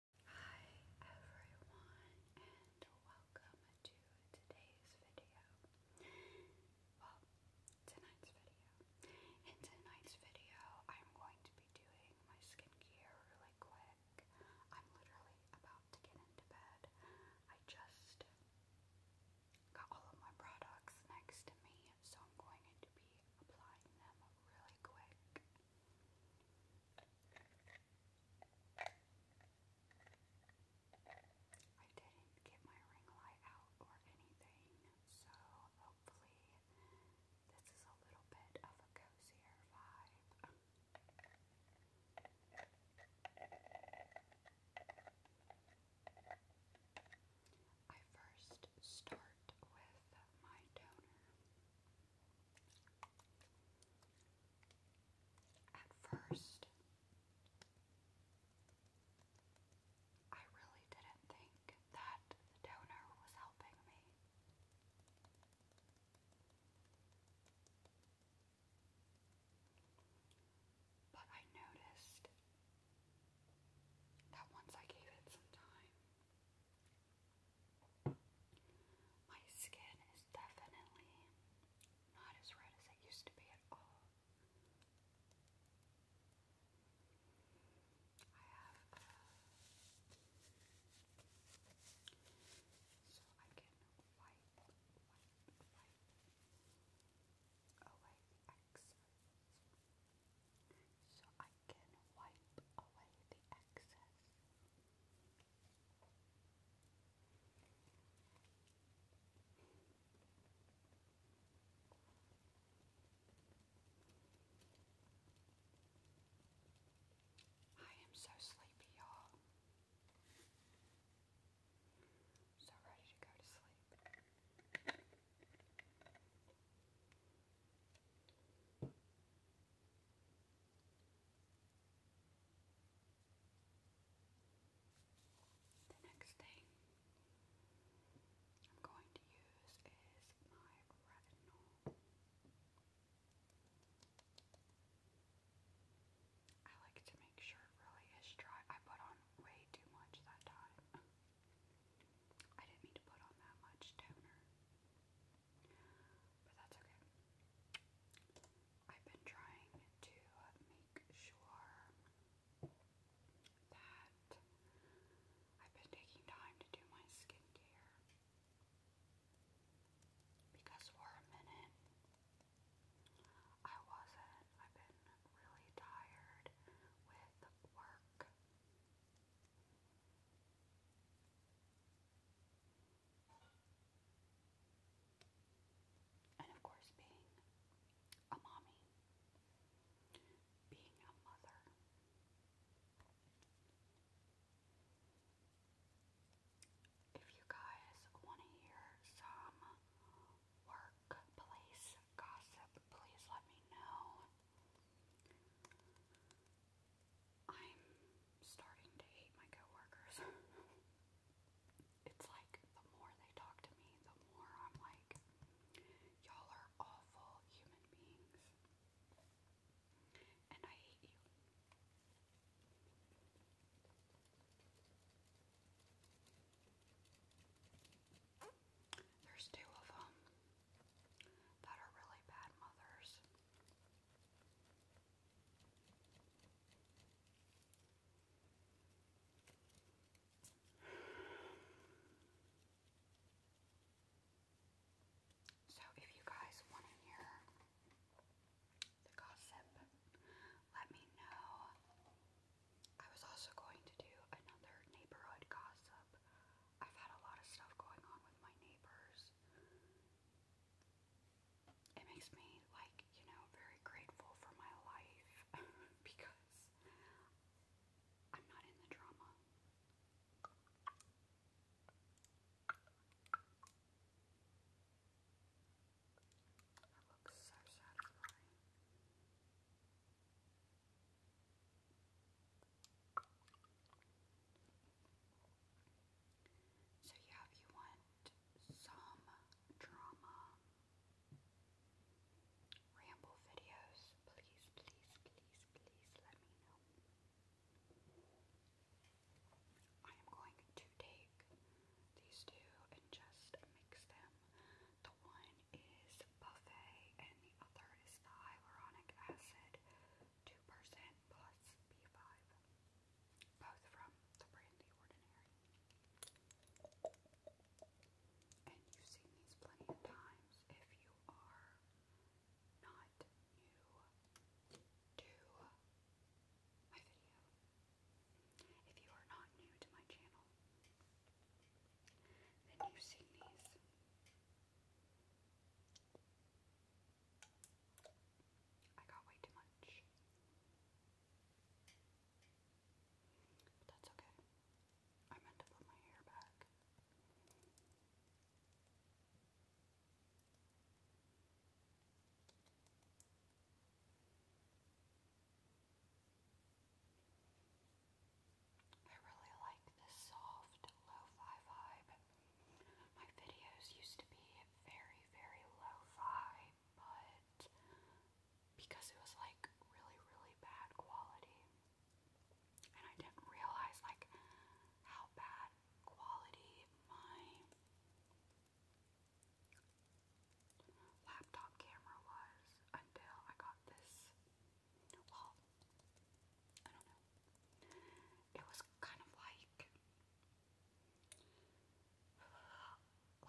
Hi everyone and welcome to today's video. tonight's video. In tonight's video, I'm going to be doing my skincare really quick. I'm literally about to get into bed. I just got all of my products next to me, so I'm going to be applying them really quick. I didn't get my ring light out or anything, so hopefully this is a little bit of a cozier vibe. I first start with my toner. At first, I really didn't think that the donor was helping me. But I noticed that once I gave it some time, my skin is definitely not as red as it used to be at all. I have uh, so I can wipe, wipe, wipe away oh, the so I can wipe away the excess. I am so sleepy, y'all. So ready to go to sleep. The next thing I'm going to use is my retinol. I like to make sure it really is dry. I put on way too much that time. I didn't mean to put on that much toner. But that's okay. I've been trying to make sure that I've been taking time to do my skincare. Because for a minute, I wasn't. I've been really tired with work and of course, being a mommy, being a mother. If you guys want to hear some workplace gossip, please let me know. I'm starting to hate my coworkers. it's like the more they talk to me, the more I'm like, y'all are awful human beings. And I hate you. There's two of them that are really bad mothers. So, if you guys want to hear the gossip, let me know. I was also going to do another neighborhood gossip I've had a lot of stuff going on with my neighbors. It makes me, like, you know, very grateful for my life because I'm not in the drama. That looks so satisfying. So, yeah, if you want some drama ramble videos, please, please, please, please let me know. I am going to take these two and just mix them. The one is buffet, and the other is the hyaluronic acid 2% plus B5, both from the brand Ordinary. And you've seen these plenty of times if you are not new to my video. If you are not new to my channel, than you seen these. I got way too much. But that's okay. I meant to put my hair back. I really like this soft lo-fi vibe. My videos used to be very, very lo-fi, but because it was like really, really bad quality, and I didn't realize like how bad quality my laptop camera was until I got this well, I don't know. It was kind of like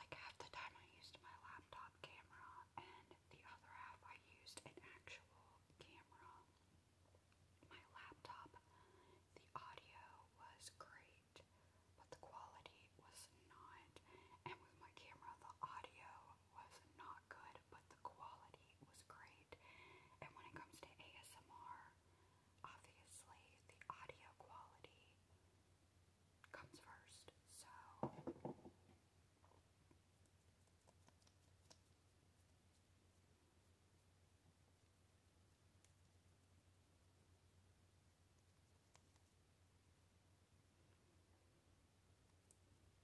like half the time I used my laptop camera and the other half I used an actual camera. My laptop, the audio was great, but the quality was not. And with my camera, the audio was not good, but the quality was great. And when it comes to ASMR, obviously the audio quality comes first. So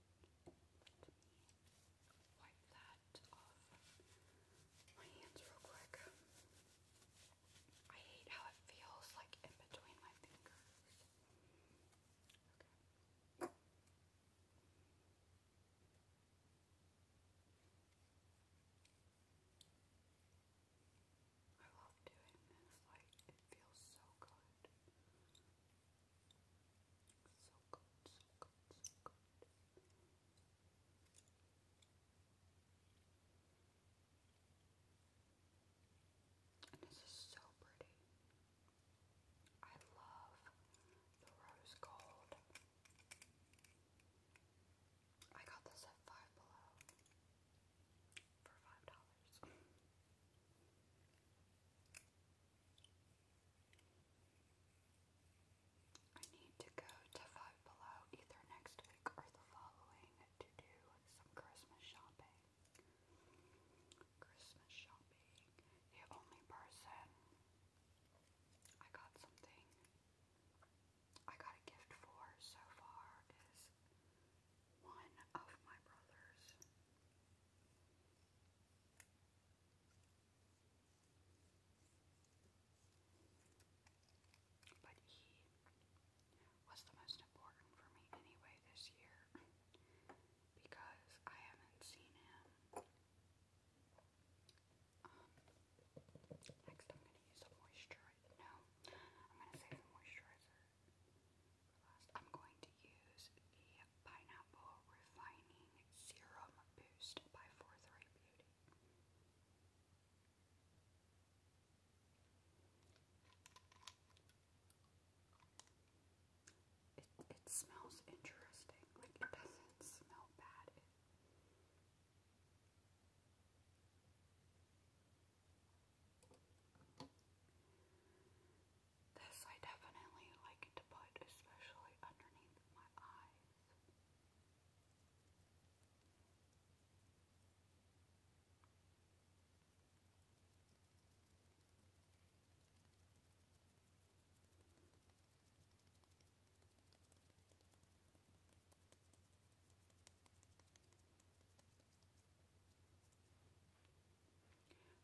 Let me wipe that off my hands real quick. I hate how it feels like in between my fingers. I love doing this, like, it feels so good. So good, this is so pretty. I love the rose gold. I got this at Five Below for $5. I need to go to Five Below either next week or the following to do some Christmas shopping. Christmas shopping. The only person I got something I got a gift for so far is one of my brothers. But he was the most important for me anyway this year because I haven't seen him. Um, next, I'm going to use a moisturizer. No, I'm going to save the moisturizer last. I'm going to use the Pineapple Refining Serum Boost by Forthright Beauty. It, smells interesting. Like, it doesn't smell bad. This I definitely like to put, especially underneath my eyes.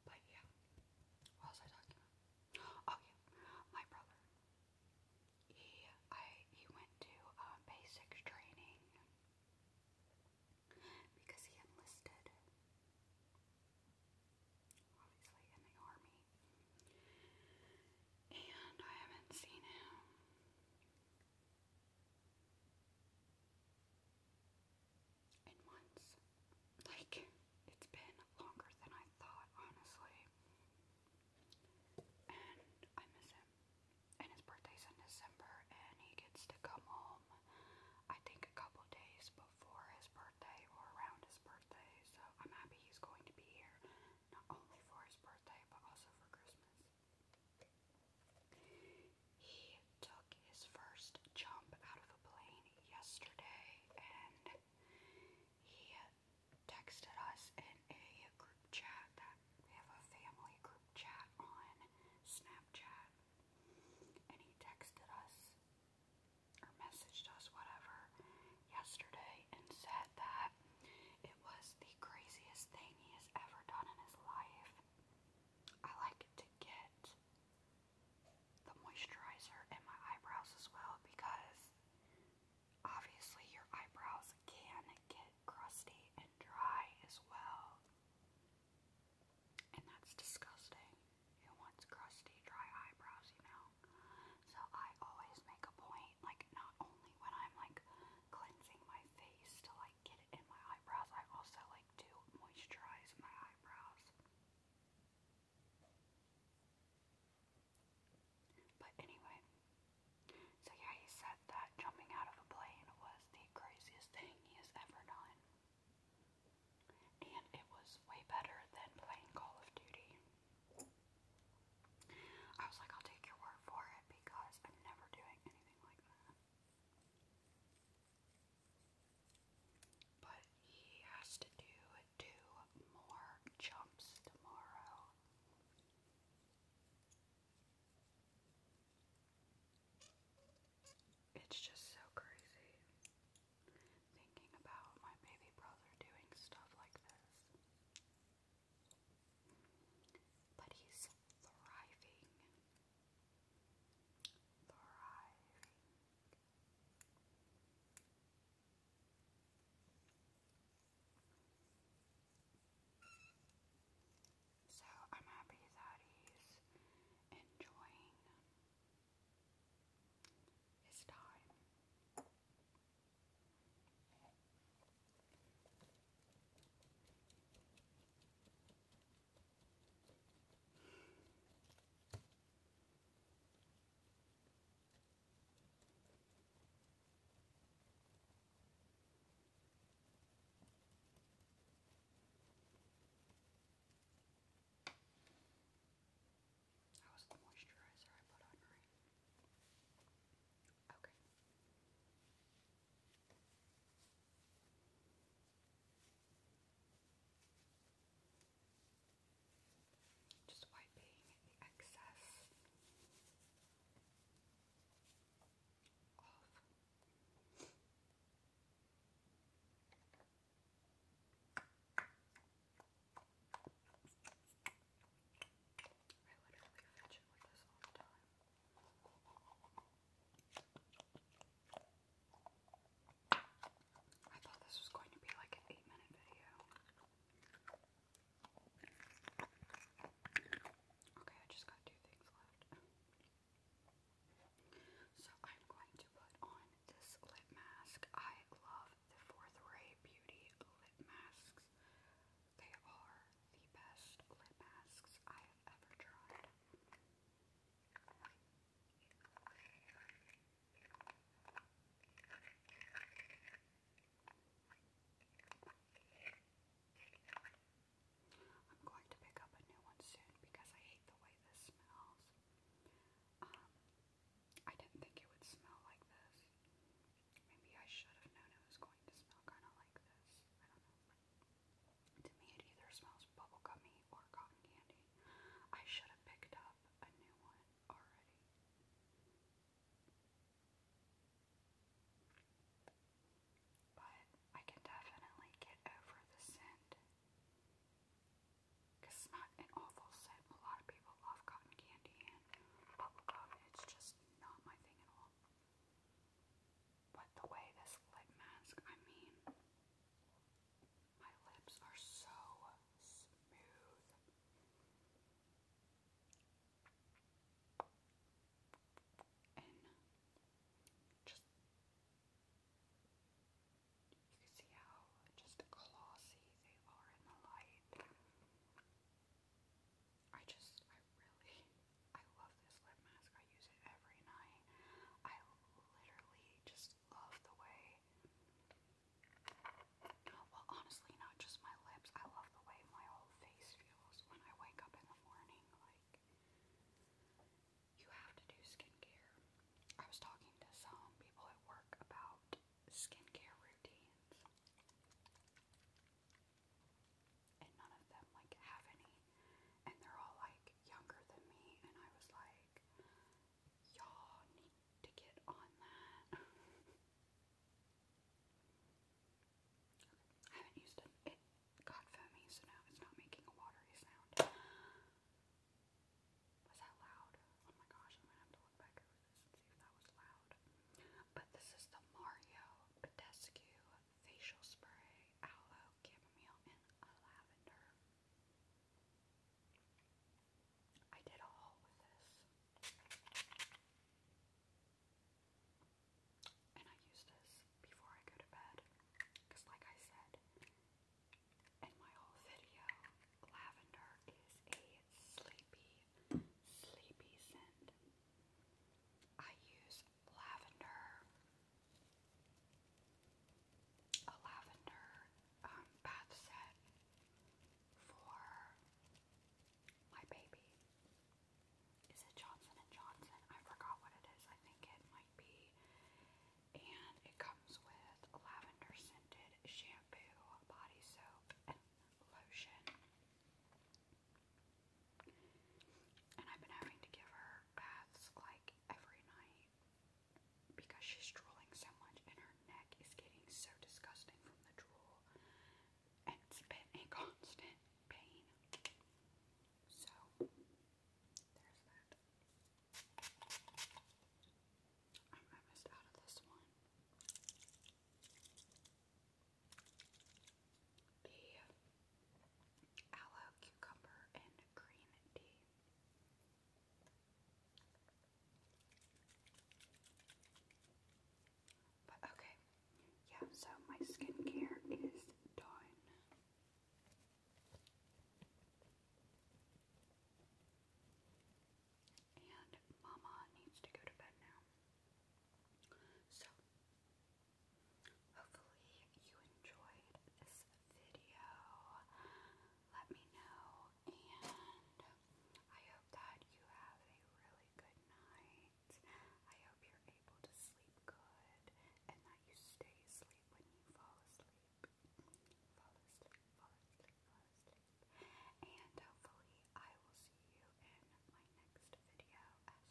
But yeah, what was I talking about? Oh yeah, my brother. He I he went to uh, um, basics training because he enlisted, obviously in the army, and I haven't seen him in months. Like, it's been longer than I thought, honestly. And I miss him. And his birthday's in December, and he gets to come home, I think, a couple days before his birthday or around his birthday. So I'm happy he's going to be here, not only for his birthday, but also for Christmas. He took his first jump out of a plane yesterday and he texted us in a group chat that we have a family group chat on Snapchat and he texted us or messaged us whatever yesterday and said that it was the craziest thing he has ever done in his life. I like to get the moisturizer and my eyebrows as well because obviously your eyebrows can get crusty and dry as well. And that's disgusting. Who wants crusty, dry eyebrows, you know? So I always make a point, like, not only when I'm like cleansing my face to like get it in my eyebrows, I also like to moisturize my eyebrows. But anyway, so yeah, he said that jumping out of a plane was the craziest thing he has ever done. And it was way better than playing Call of Duty. I was like, I'll take your word for it because I'm never doing anything like that. But he has to do two more jumps tomorrow. It's just so crazy thinking about my baby brother doing stuff like this. But he's thriving. Thriving. So I'm happy that he's enjoying his time. That was the moisturizer I put on, Okay. Just wiping the excess off. I literally fidget with this all the time. I thought this was going to be like an eight minute video. Okay, I just got two things left. So I'm going to put on this lip mask. I love the Fourth Ray Beauty lip masks. They are the best lip masks I have ever tried. I'm going to pick up a new one soon because I hate the way this smells. Um, I didn't think it would smell like this. Maybe I should have known it was going to smell kind of like this. I don't know. To me, it either smells bubblegummy or cotton candy. I should have picked up a new one already. But I can definitely get over the scent. Because it's not an awful scent. A lot of people love cotton candy and bubblegum. It's just not my thing at all. But the way this lip mask, I mean, my lips are so smooth. And just you can see how just glossy they are in the light. I just I really I love this lip mask use it every night. I literally just love the way. Well, honestly, not just my lips. I love the way my whole face feels when I wake up in the morning. Like, you have to do skincare. I was talking to some people at work about skincare routines, and none of them like have any. And they're all like, like younger than me, and I was like, y'all need to get on that. I haven't used it. It got foamy, so now it's not making a watery sound. Was that loud? Oh my gosh, I'm gonna have to look back over this and see if that was loud. But this is the Mario Badescu Facial Spray Aloe Chamomile and Lavender. I did a with this. And I use this before I go to bed. Because like I said in my whole video, lavender is a sleepy, sleepy scent. I use lavender a lavender um, bath set for my baby. Is it Johnson and Johnson? I forgot what it is. I think it might be. And it comes with lavender scented shampoo, body soap, lotion. And I've been having to give her baths like every night because she's drooling so much and her neck is getting so disgusting from the drool and it's been a constant pain. So there's that. I'm almost out of this one. The aloe, cucumber, and green tea. But okay, yeah, so my skincare is done. And Mama needs to go to bed now. So, Hopefully you enjoyed this video. Let me know and I hope that you have a really good night. I hope you're able to sleep good and that you stay asleep when you fall asleep. Fall asleep, fall asleep, fall asleep. And hopefully I will see you in my next video as well.